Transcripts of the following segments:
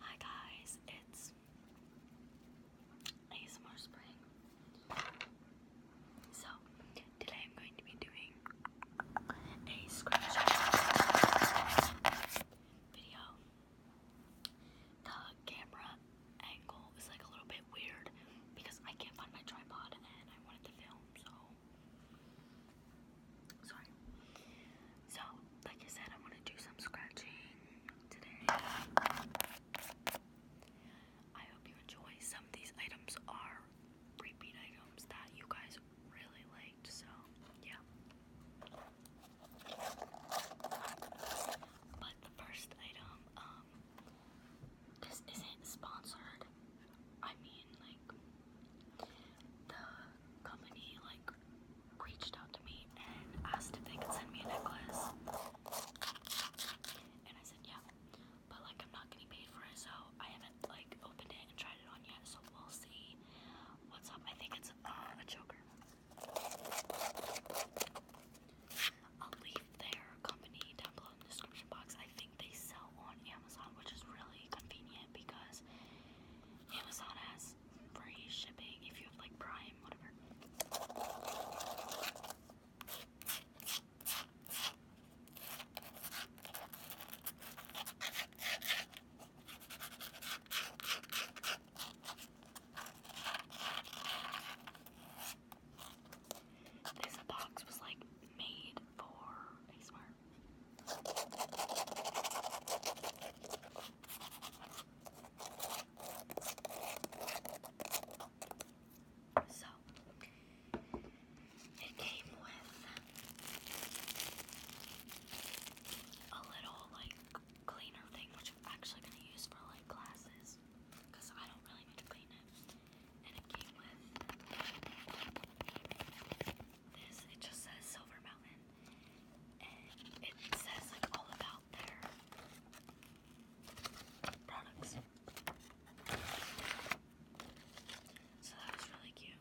Hi guys, it's ASMR Spring. So, today I'm going to be doing a scratch video. The camera angle is like a little bit weird because I can't find my tripod and I wanted to film, so so, like I said, I want to do some scratching today. I hope you enjoy. Some of these items are repeat items that you guys really liked, so yeah. But the first item, um, this isn't sponsored. I mean, like, the company like reached out to me and asked if they could send me a necklace. And I said yeah. But like I'm not getting paid for it, so I haven't like opened it and tried it on yet, so we'll see what's up. I think it's uh, a choker. I'll leave their company down below in the description box. I think they sell on Amazon, which is really convenient because Amazon has free shipping if you have like Prime, whatever. This box was like made for ASMR. So it came with a little like cleaner thing, which I'm actually gonna use for like glasses, because I don't really need to clean it and it came with this. It just says Silver Mountain, and it says like all about their products. So that was really cute.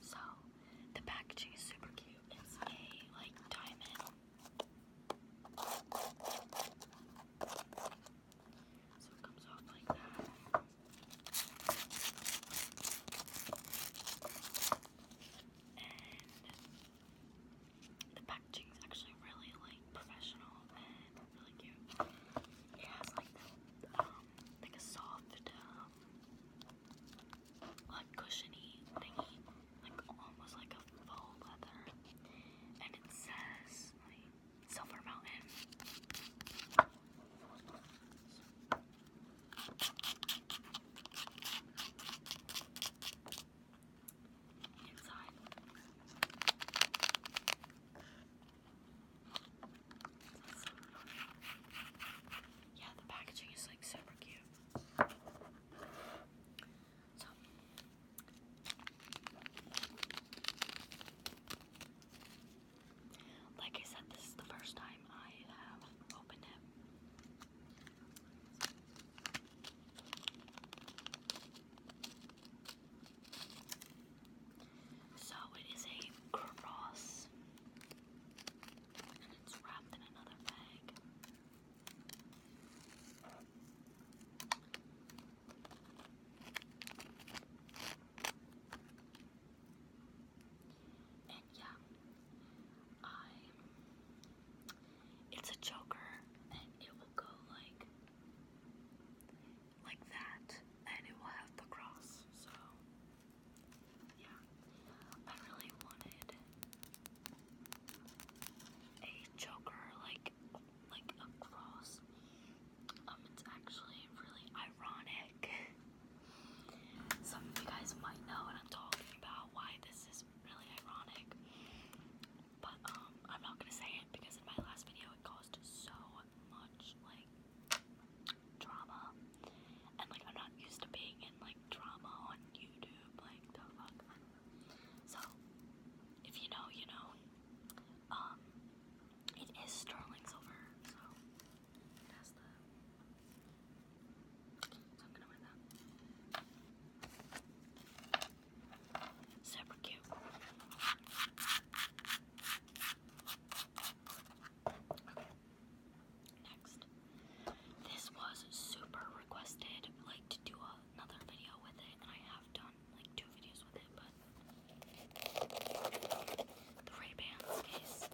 So the packaging is super cute. It's a like diamond so it comes off like that. And the packaging is actually really like professional and really cute. It has like um, like a soft, um, like cushiony thingy like almost like a faux leather, and it says Silver Mountain. Inside. Yeah, the packaging is like super cute. So. Like I said, this is the first time I have opened it. So it is a cross, and it's wrapped in another bag. And yeah, I it's a Joker, and it will go like like that and it will have the cross. So yeah, I really wanted a choker like like a cross. Um, it's actually really ironic. Some of you guys might know what I'm talking about. Why this is really ironic, but um, I'm not gonna say it because in my last video it caused so much like drama. And like I'm not used to being in like drama on YouTube, like the fuck. So if you know, you know. Um it is sterling silver, so I'm gonna wear that. Super cute. Next. This was super requested, like to do another video with it, and I have done like two videos with it, but the Ray-Bans case.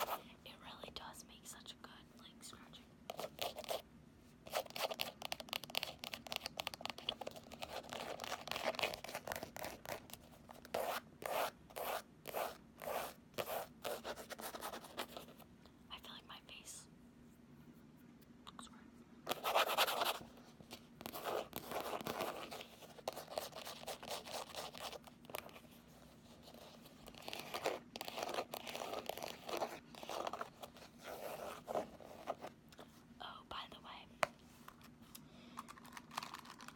It really does make such a good like scratching. I feel like my face looks weird. Oh, by the way,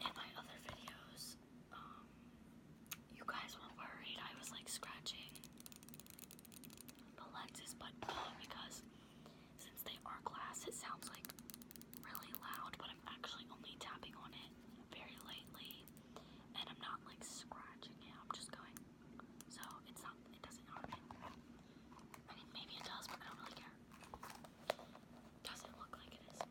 in my other videos, um, you guys were worried I was like scratching the lenses, but no, because since they are glass, it sounds like really loud, but I'm actually only tapping on it very lightly, and I'm not like scratching it, I'm just going. So it's not, it doesn't harm I mean, maybe it does, but I don't really care. doesn't look like it is.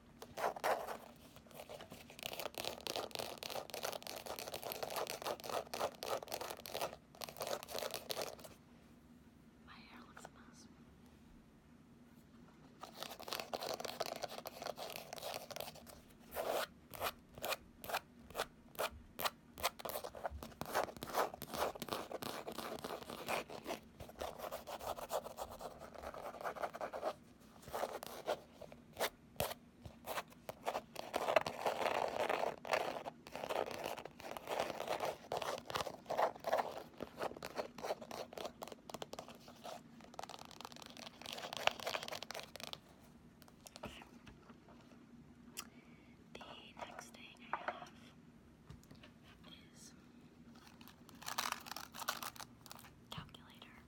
My hair looks a mess. The next thing I have is calculator.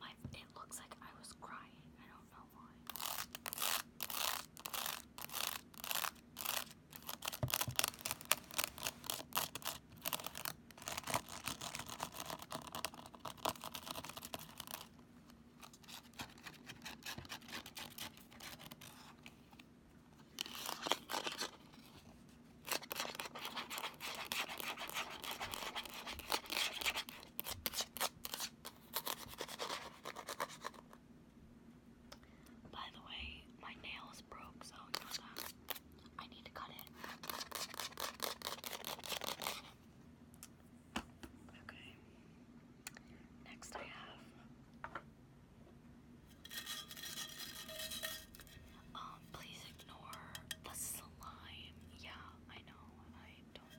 My, it looks like I was crying. I don't know why. By the way, my nails broke, so you I need to cut it. Okay. Next I have um please ignore the slime. Yeah, I know. I don't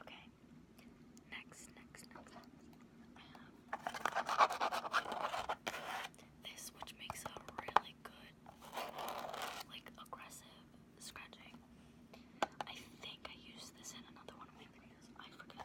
Okay. Next, next, next, next. I this, which makes a really good, like, aggressive scratching. I think I used this in another one of my videos. I forget.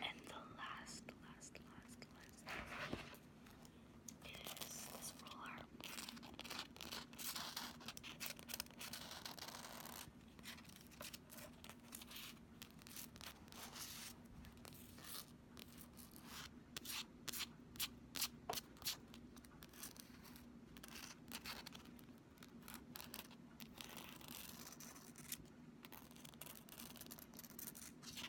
And the last, last, last, last is this roller.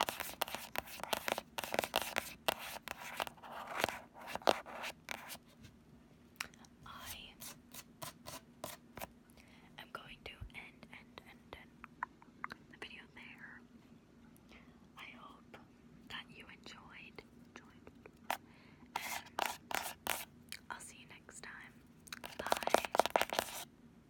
I am going to end, end, end, end the video there. I hope that you enjoyed. I'll see you next time. Bye.